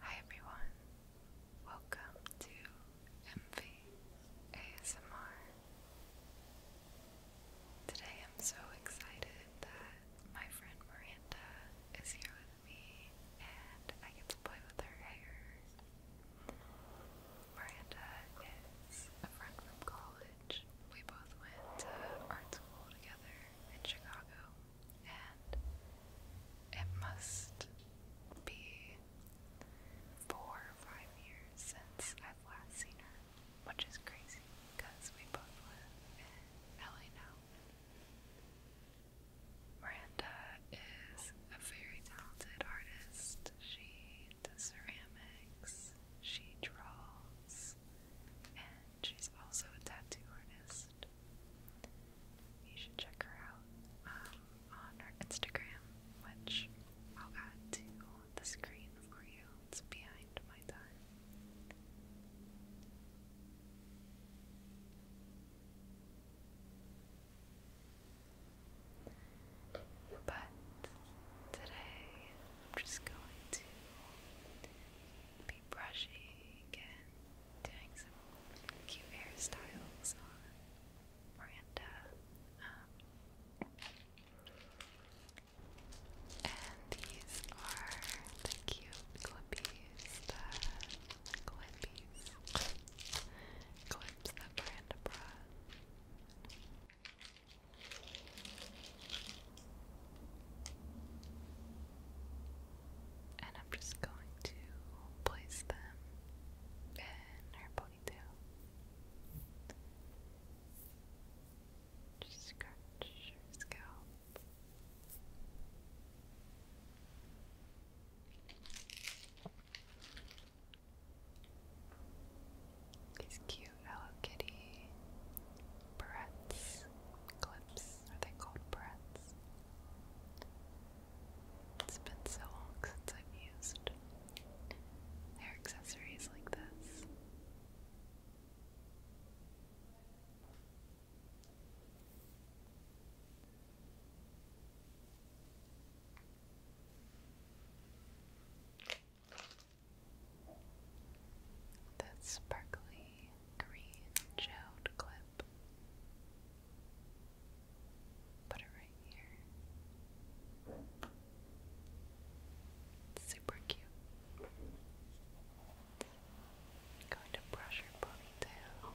Hi everyone, welcome to Envy Today I'm so excited that my friend Miranda is here with me and I get to play with her hair. Miranda is a friend from college. We both went to art school together in Chicago and it must be four five years since I've last seen her, which is crazy because we both live in LA now. Miranda is a very talented artist. She does ceramics, she draws, and she's also a tattoo artist. You should check her out. Um, on our Instagram, which I'll add to the screen for you. It's behind my time. But today I'm just going to be brushing and doing some cute hairstyles on Miranda. Um, and these are the cute clippies, the clippies, clips that Miranda brought. And I'm just going to place them in her book. Just scratch your scalp. These cute Hello Kitty barrettes, clips, are they called barrettes? It's been so long since I've used out accessories like this. That sparkly green gelled clip Put it right here. super cute. going to brush her ponytail.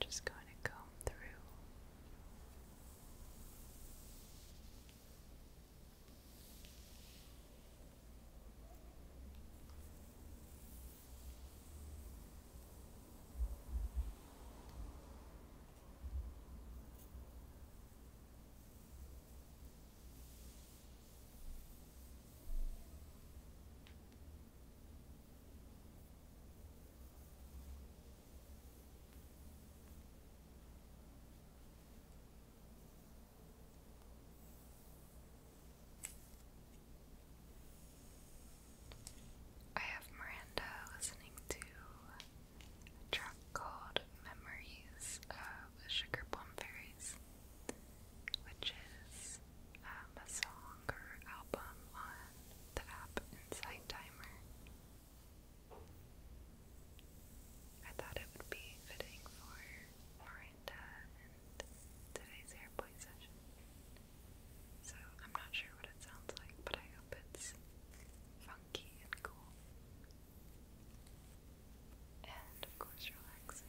Just going to comb through. I have Miranda listening to track called Memories of Sugar Plum Fairies, which is um, a song or album on the app Insight Timer. I thought it would be fitting for Miranda and today's airplane session. So I'm not sure what it sounds like, but I hope it's fun funky and cool. And of course, relaxing.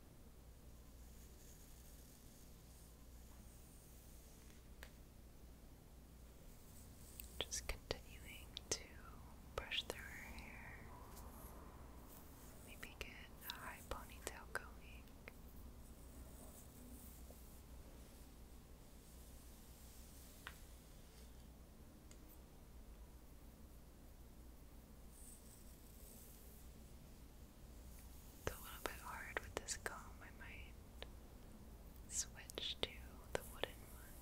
Just continuing to brush through her hair. Maybe get a high ponytail going. It's a little bit hard with this comb. I might switch to the wooden one.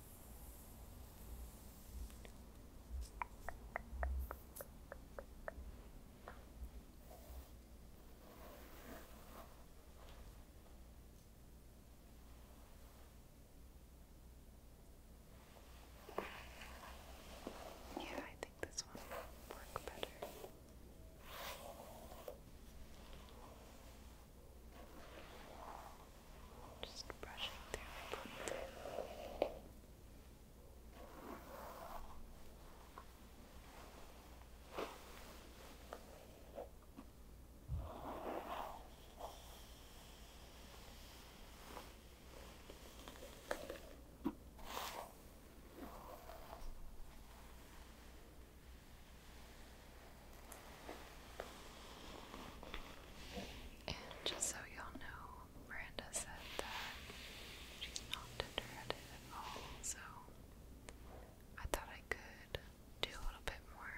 Yeah, I think this one will better. Just brushing through and just so y'all know, Miranda said that she's not tender-headed at all, so I thought I could do a little bit more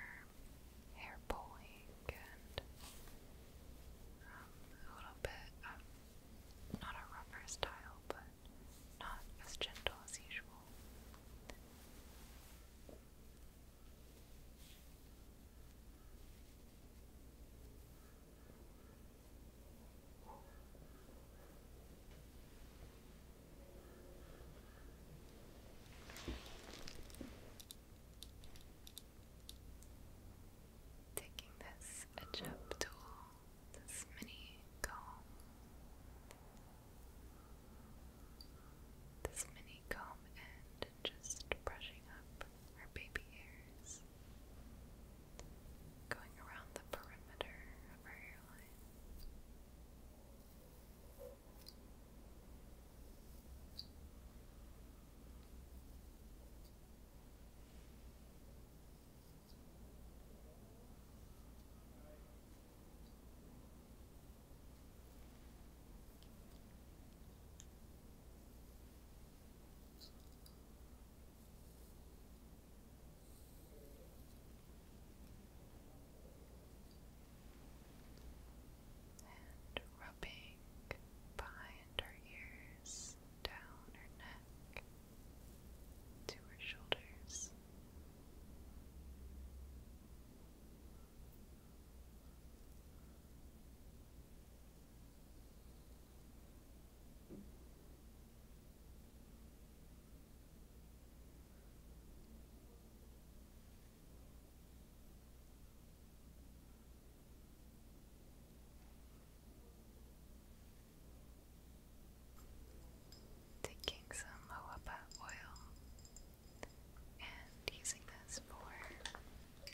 hair pulling and um, a little bit of not a rougher style, but not as gentle as usual. Taking this edge up tool, this mini comb. This mini comb and just brushing up our baby hairs. Going around the perimeter of our hairline and rubbing behind our ears down her neck to her shoulders. Taking some jojoba oil and using this for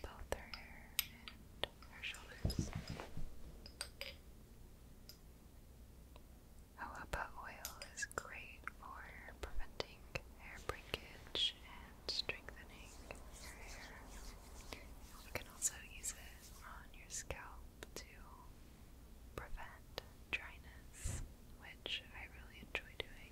both her hair and her shoulders. Jojoba oil is great for preventing hair breakage strengthening your hair. You can also use it on your scalp to prevent dryness, which I really enjoy doing.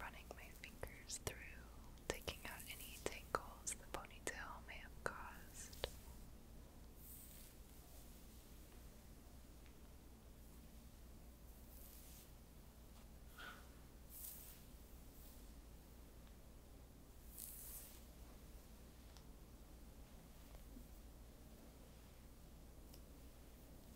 Running my fingers through, taking out any tangles the ponytail may have caused.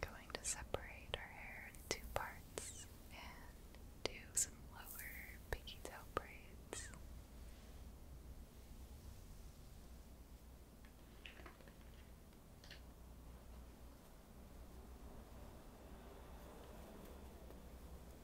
Going to separate our hair in parts and do some lower pigtail braids.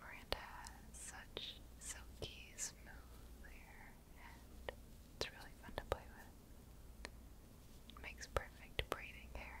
Miranda has such silky, smooth hair, and it's really fun to play with. makes perfect braiding hair.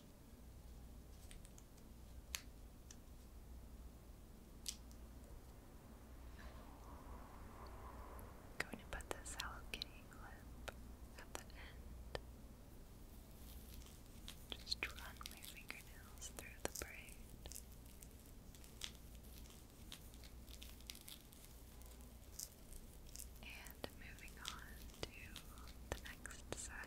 I'm going to put this Hello clip at the end. Just run my fingernails through the braid. And moving on to the next side.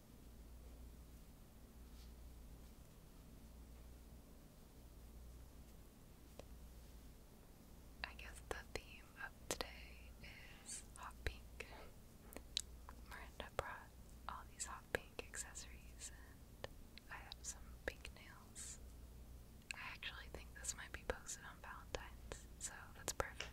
I guess the theme of today is hot pink. Miranda brought all these hot pink accessories, and I have some pink nails. I actually think this might be posted on Valentine's, so that's perfect.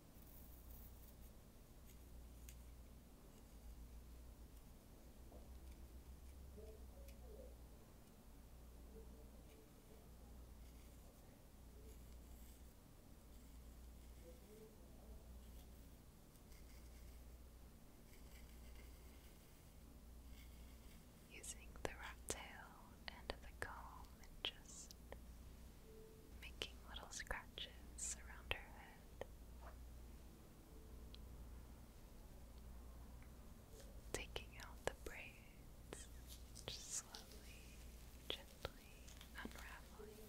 Using the rat tail and the comb and just making little scratches around her head. Taking out the braids, just slowly, gently unraveling.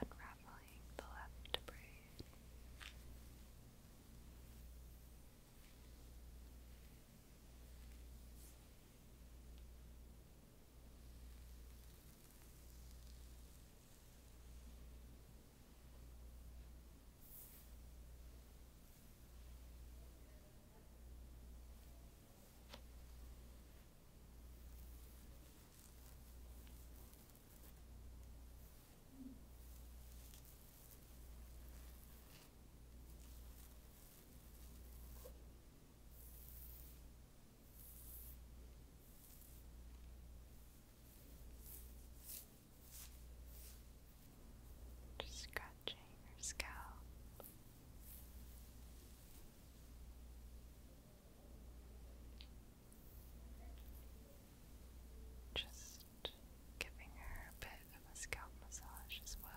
unraveling the left brain. Just scratching your scalp. Just giving her a bit of scalp massage as well.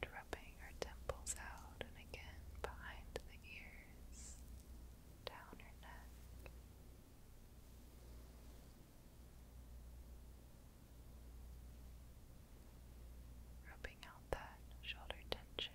And rubbing her temples out and again behind the ears, down her neck, Rubbing out that shoulder tension.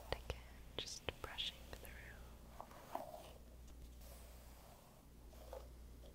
And again, just brushing through all the way around her head.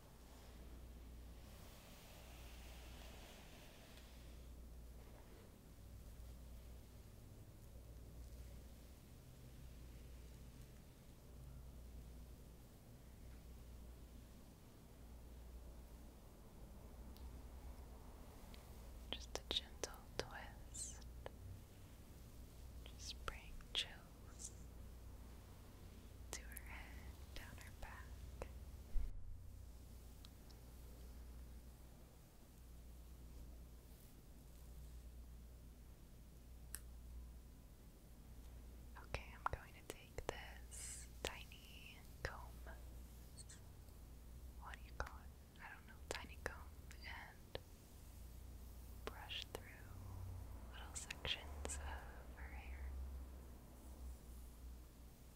Just a gentle twist. Just bring chills to her head, down her back. Okay, I'm going to take this tiny comb. What do you call it? I don't know, tiny comb, and brush through little sections of her hair.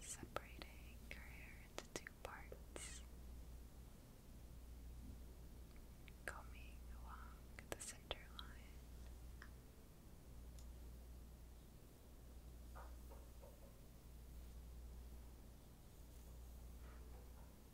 separating her hair into two parts, combing along the center line.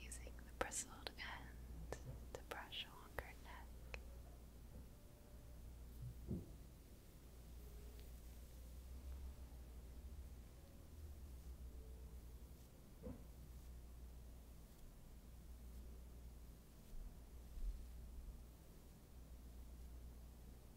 Using the bristled end to brush along her neck.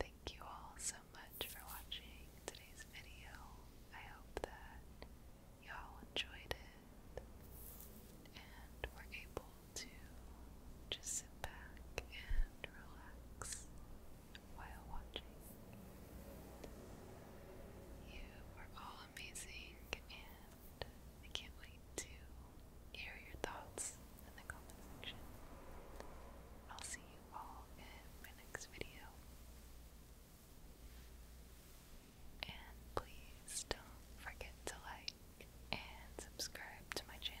Thank you all so much for watching today's video. I hope that y'all enjoyed it and we're able to just sit back and relax while watching. You are all amazing, and I can't wait to hear your thoughts in the comment section. I'll see you all in my next video. And please don't forget to like, and subscribe to my channel.